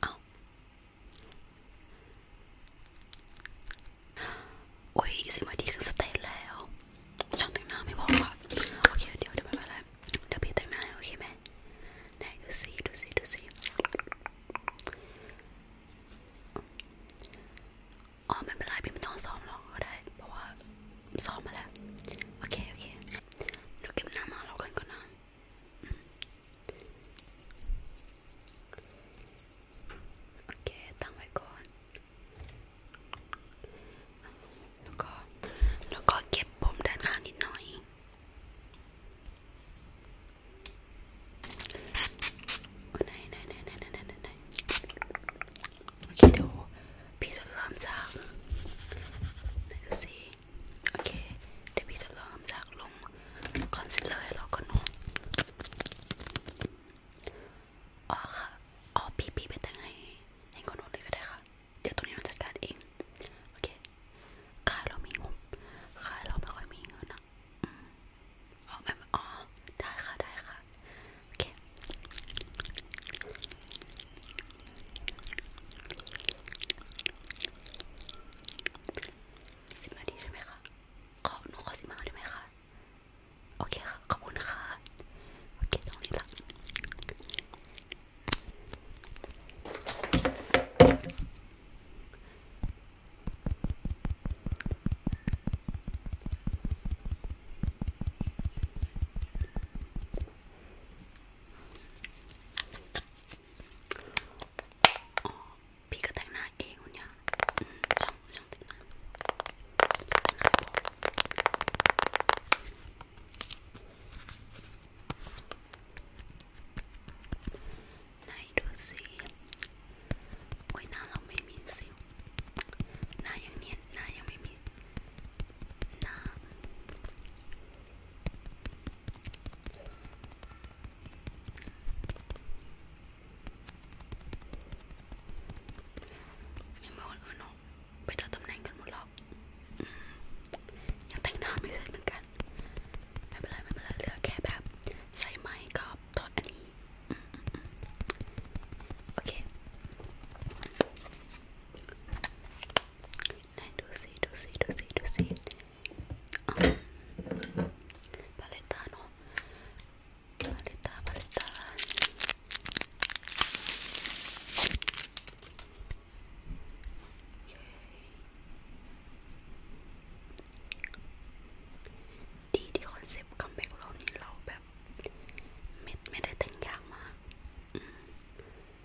เอาโอ้ยสิมาดีคือสเตจแล้วช่างแต่งหน้าไม่พอค่ะ โอเคเดี๋ยวเดี๋ยวไม่เป็นไรเดี๋ยวพี่แต่งหน้าโอเคไหมไหนดูสิดูสิดูสิอ๋อไม่เป็นไรพี่ไม่ต้องซ้อมหรอกก็ได้ เพราะว่าซ้อมมาแล้ว โอเคโอเคเดี๋ยวเก็บหน้ามาเรากันก่อนนะโอเค ตั้งไว้ก่อนแล้วก็ แล้วก็เก็บผมด้านข้างนิดหน่อยไหนไหนไหนไหนไหนไหนโอเคเดี๋ยวพี่จะเริ่มจากไหนดูสิโอเค เดี๋ยวพี่จะลองจากลงคอนซีลเลอร์แล้วก็นุ่มอ๋อค่ะอ๋อพี่พี่ไปแต่งให้ให้คนนุ่มเลยก็ได้ค่ะ เดี๋ยวตรงนี้เราจัดการเอง โอเคค่าเรามีงบค่าเราไม่ค่อยมีเงินนะอ๋อแบบอ๋อได้ค่ะได้ค่ะโอเคสิบนาทีใช่ไหมคะขอหนูขอสิบห้าได้ไหมคะโอเคค่ะขอบคุณค่ะโอเคตรงนี้ละอ๋อพี่ก็แต่งหน้าเองเนี่ยช่างช่างแต่งหน้าแต่งหน้าผมไหนดูสิโอ้ยหน้าเราไม่มีสิวหน้ายังเนียนหน้ายังไม่มีหน้าไม่เหมือนคนอื่นหรอกไปจัดตำแหน่งกันหมดหรอกยังแต่งหน้าไม่เสร็จเหมือนกัน ไม่เป็นไรไม่เป็นไรเหลือแค่แบบ ใส่ไม้กรอบทอดอันนี้ โอเคไหนดูสิดูสิดูสิดูสิพาเลต้าเนาะพาเลต้าพาเลต้าดีที่คอนเซปต์คัมแบ็กเรานี่เราแบบไม่ไม่ได้แต่งยากมาก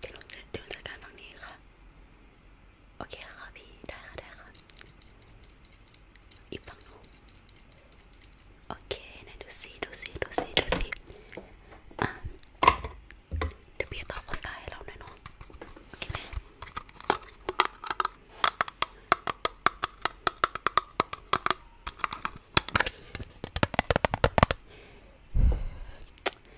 เดี๋ยวเดี๋ยวจัดการฝั่งนี้ค่ะ โอเคค่ะพี่ ได้ค่ะ ได้ค่ะอีกฝั่งนู้นโอเคไหนดูสิดูสิดูสิดูสิอ่ะ เดี๋ยวพี่ตอบคนตายให้เราหน่อยเนาะโอเคไหม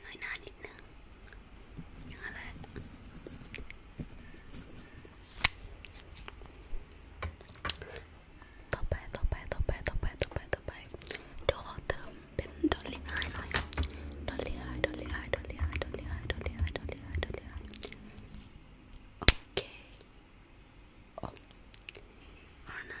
เงยหน้านิดนึงอย่างนั้นแหละต่อไปต่อไปต่อไปต่อไปต่อไปต่อไปเดี๋ยวขอเติมเป็นดอลลี่ไอหน่อยดอลลี่ไอดอลลี่ไอดอลลี่ไอดอลลี่ไอดอลลี่ไอดอลลี่ไอดอลลี่ไอโอเคโอ้ alright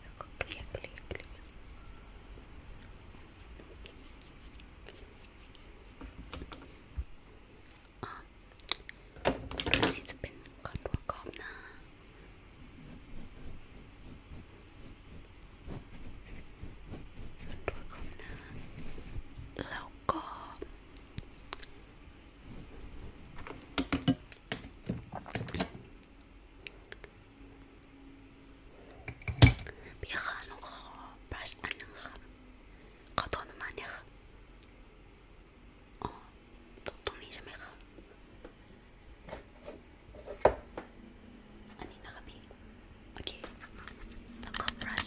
แล้วก็เกลี่ยเกลี่ยเกลี่ยอ๋ออันนี้จะเป็นคอนทัวร์ขอบหน้าคอนทัวร์ขอบหน้าแล้วก็พี่คะหนูขอบรัชอันนึงครับขอตัวประมาณเนี้ยค่ะอ๋อตรงตรงนี้ใช่ไหมคะอันนี้นะคะพี่ โอเค แล้วก็บรัช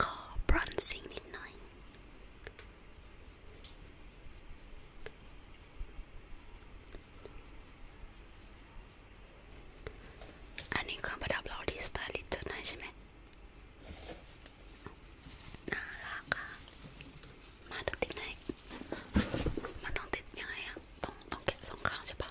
ขอบรอนซิ่งนิดหน่อยอันนี้เครื่องประดับเราที่สไตลิสต์จดได้ใช่ไหมน่ารักค่ะมาดูติดไหนมันต้องติดยังไงอะต้องต้องแกะสองข้างใช่ปะ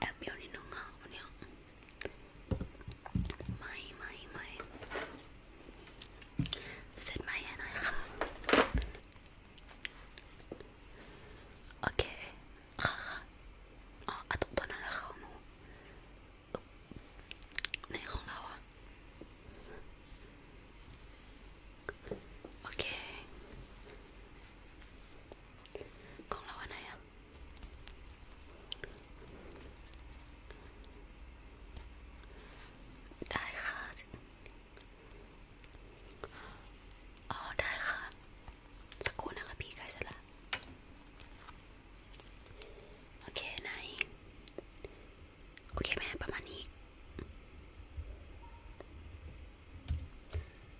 แอบเบี้ยวนิดนึงอ่ะวันนี้ไม่ไม่ไม่เสร็จไหมหน่อยค่ะโอเคค่ะค่ะอ๋อตรงตัวนั้นแหละค่ะหนูในของเราอ่ะโอเคของเราอันไหนอ่ะได้ค่ะ อ๋อ ได้ค่ะสักครู่นะคะพี่ใกล้เสร็จละโอเคไหนโอเคแม่ประมาณนี้